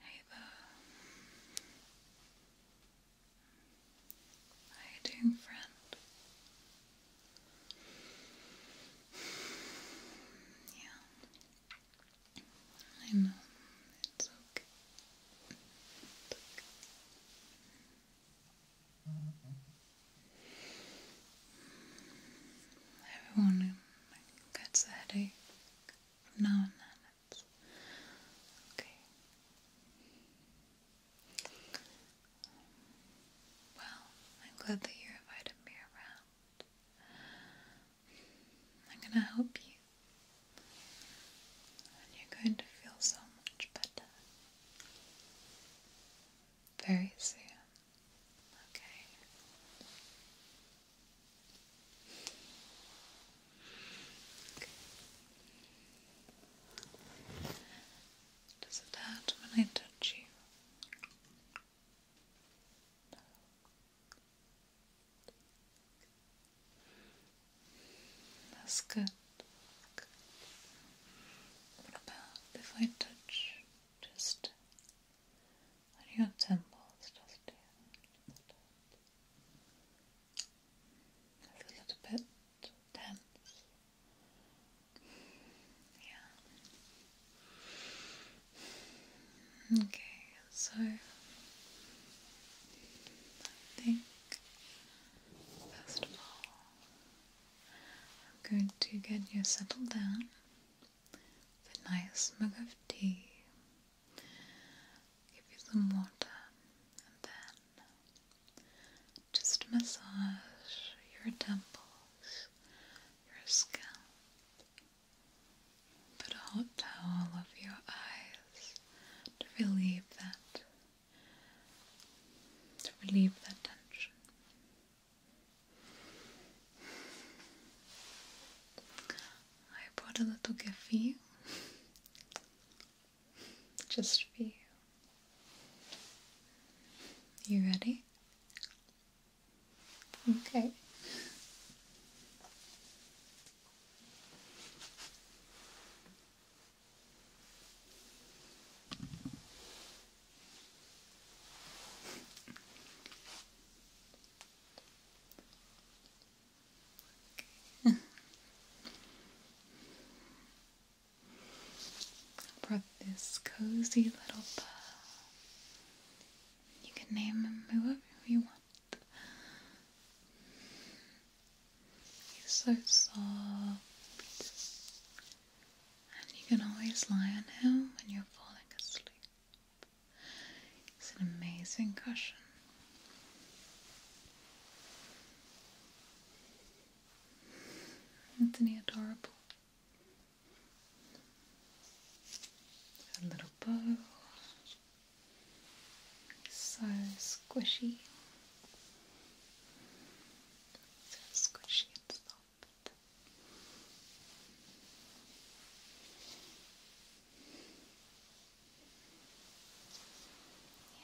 Hey there. How you doing, friend? Yeah. I know. It's okay. Everyone gets a headache now and then. okay. Well, I'm glad that you invited me around. I'm gonna help you. And you're going to feel so much better. Very soon. Okay. Does it hurt when I touch you? No. That's good. What about if I touch just your temples, just a little bit tense. Yeah. Okay, so I think first of all I'm going to get you settled down with a nice mug of tea. Give you some water and then just massage your temples, your scalp. Put a hot towel over your eyes to relieve that to relieve that tension. I brought a little gift for you. Just for you. You ready? Okay. I'll this cozy little paw. You can name him whoever you want. He's so soft. And you can always lie on him when you're falling asleep. It's an amazing cushion. Isn't he adorable? A little bow so squishy. So squishy and soft.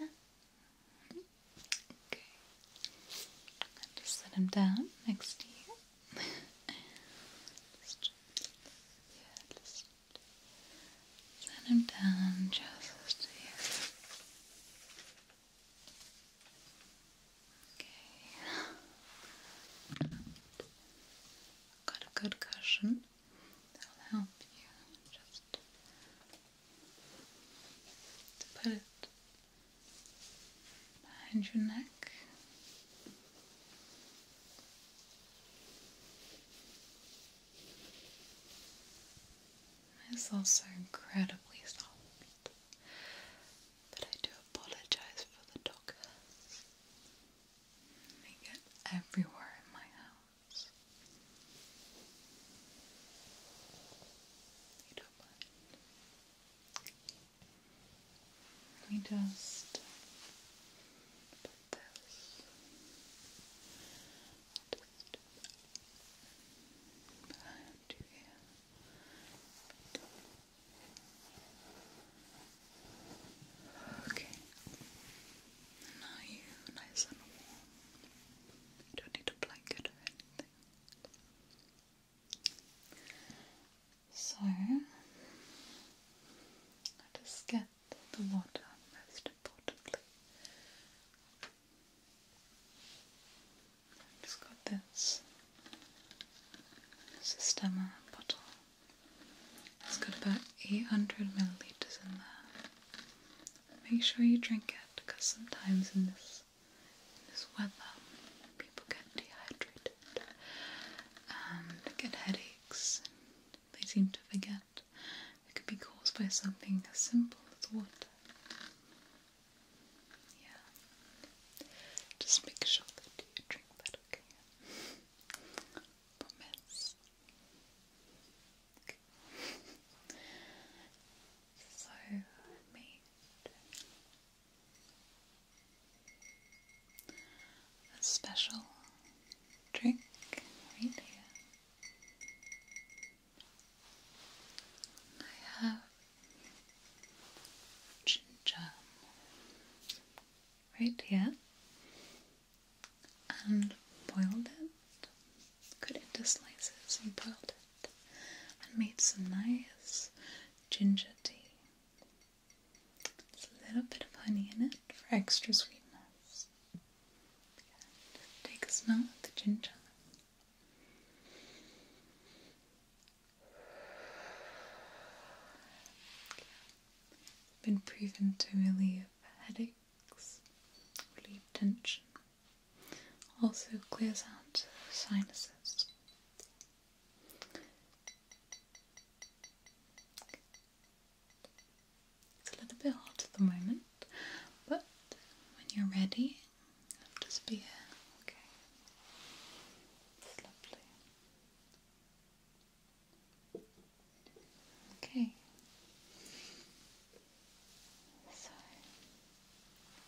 Yeah. Okay. just set him down next to you. Set him down just here. Okay. Got a good cushion. That'll help you just to put it behind your neck. It's also incredibly soft, but I do apologize for the dog. They get everywhere in my house. They don't mind. We just this. you Okay. Now you nice and warm. You don't need a blanket or anything. So I just get the water, most importantly. i just got this Sistema bottle. It's got about 800 milliliters in there. Make sure you drink it because sometimes in this, this weather people get dehydrated and get headaches. They seem to forget it could be caused by something as simple as water. Yeah. Just make sure that you drink that, okay? Promise. so, me. special trick right here. I have ginger right here and boiled it, cut it into slices and boiled it and made some nice ginger tea. It's a little bit of honey in it for extra sweetness. And take a smell of the ginger. Been proven to relieve headaches, relieve tension, also clears out sinuses. It's a little bit hot at the moment, but when you're ready, I'll just be here. Okay. lovely. Okay. So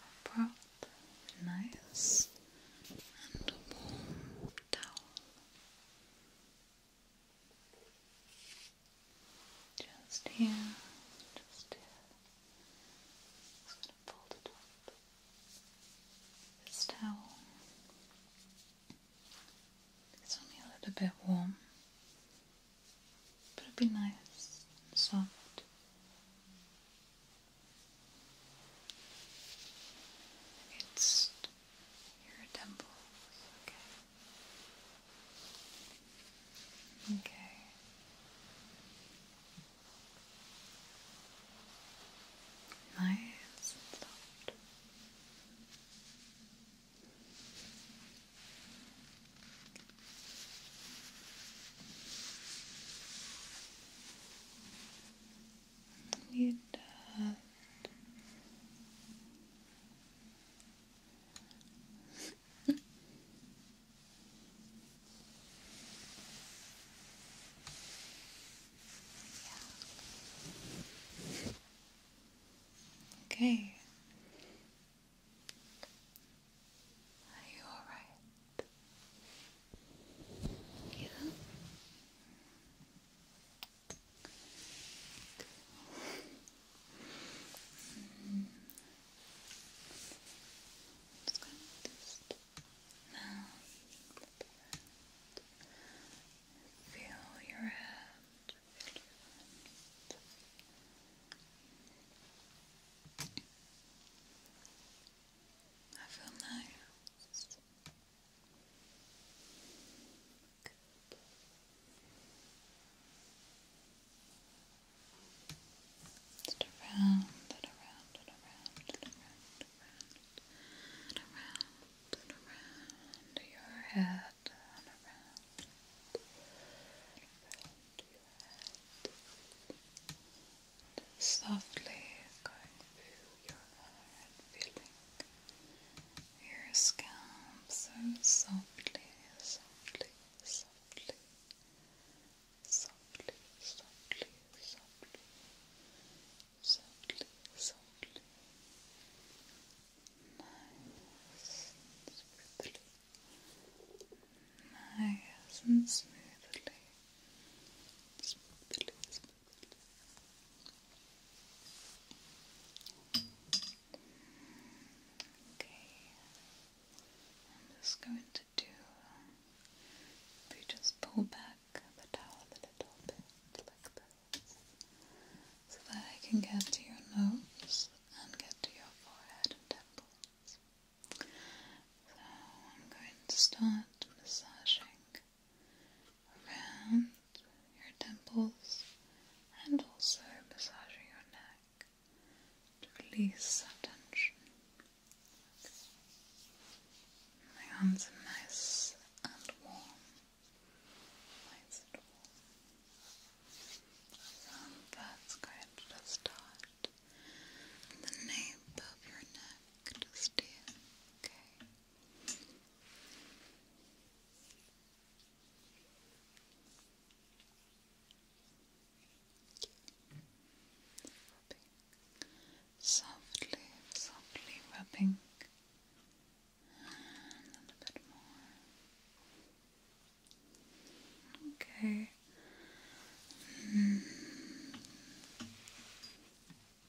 I brought a nice and warm towel. Just here, just here. Just gonna fold it up. This towel. It's only a little bit warm, but it'll be nice and soft. It's your temples. Okay. Okay. Nice and soft. You do Okay. Are you alright? Yeah. Mm. Just now feel your head. I feel nice. Yes. around and around and around and around and around and around your head and around around your head. Softly going through your head, feeling your scalp so softly, softly, softly, softly, softly, softly, softly, softly. Nice and smoothly. Nice and smoothly. Smoothly, smoothly, Okay, I'm just going to do. If just pull back the towel a little bit, so that I can get to your nose and get to your forehead and temples. So I'm going to start massaging around your temples and also massaging your neck to release that tension. My hands are nice and warm. Nice and warm. So that's start the nape of your neck, just here. Okay. Softly, softly rubbing, and a bit more. Okay.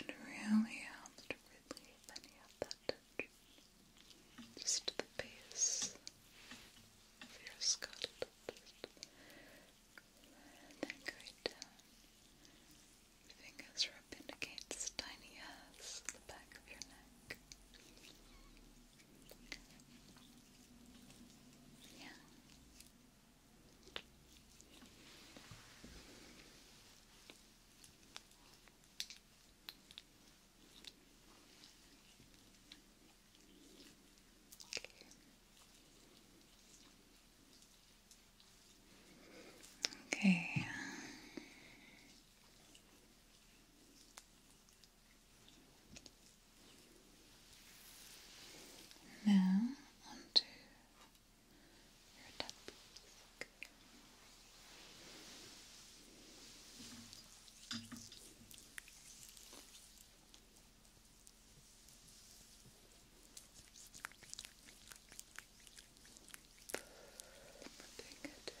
It really helps to relieve any that tension. Just the base of your skull, and then going down. Uh, fingers rub indicates tiny hairs at the back of your neck. Yeah. Okay. Now onto your tongue music. Putting it in like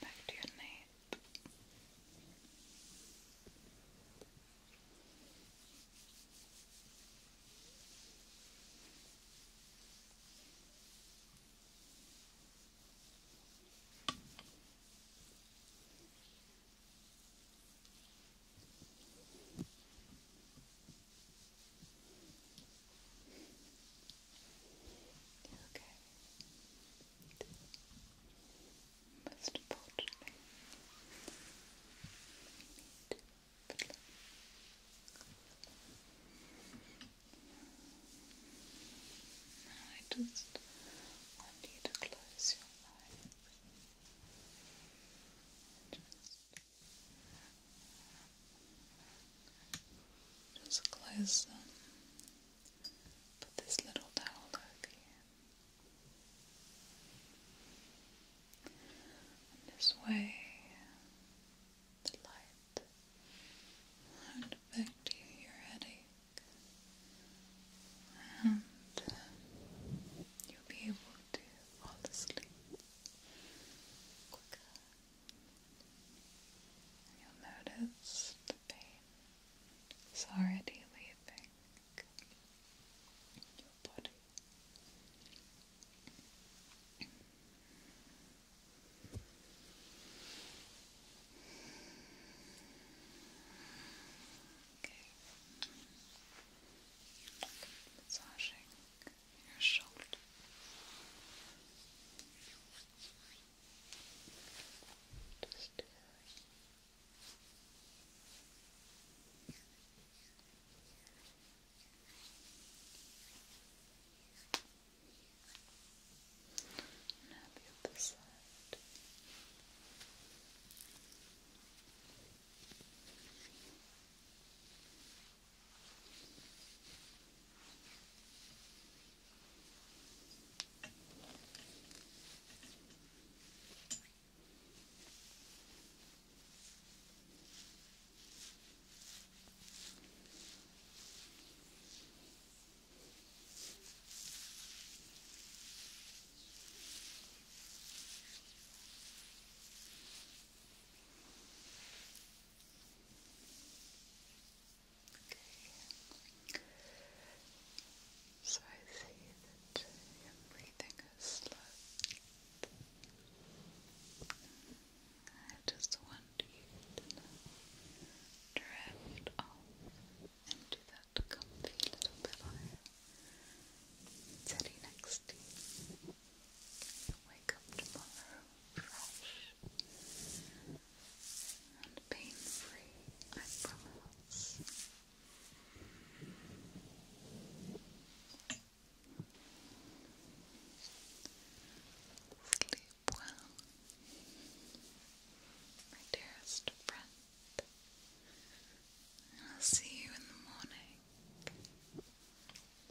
Back to your nape. Okay. Most importantly, we need to I just want you to close your eyes. Just, just close them. Put this little towel over you. And this way, the light. How it affect you, your headache. And uh, you'll be able to fall asleep quicker. you'll notice the pain already leaving your body. Okay. Massaging your shoulder. Just do it. Now the other side. Now Okay. So I see that your breathing is slow. I just want you to drift off into that comfy little pillow sitting next to you. wake up tomorrow fresh and pain free, I promise. Sleep well, my dearest friend. I'll see you in the morning.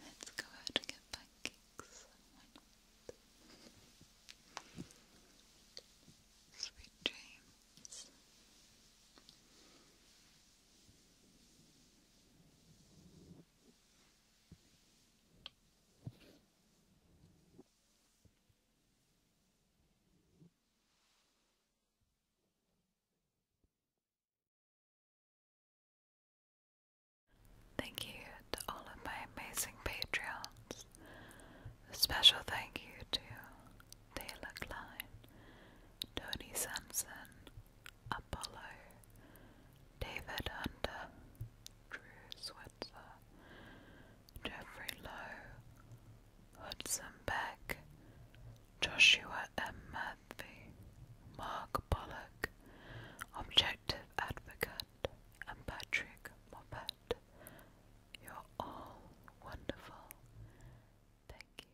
Let's go out and get pancakes. Sweet dreams. Thank you to all of my amazing Patreons. A special thank you to Taylor Klein, Tony Sanson, Apollo, David Hunter, Drew Switzer, Jeffrey Lowe, Hudson Beck, Joshua M. Murphy, Mark Pollock, Objective Advocate, and Patrick Moffat. You're all wonderful. Thank you.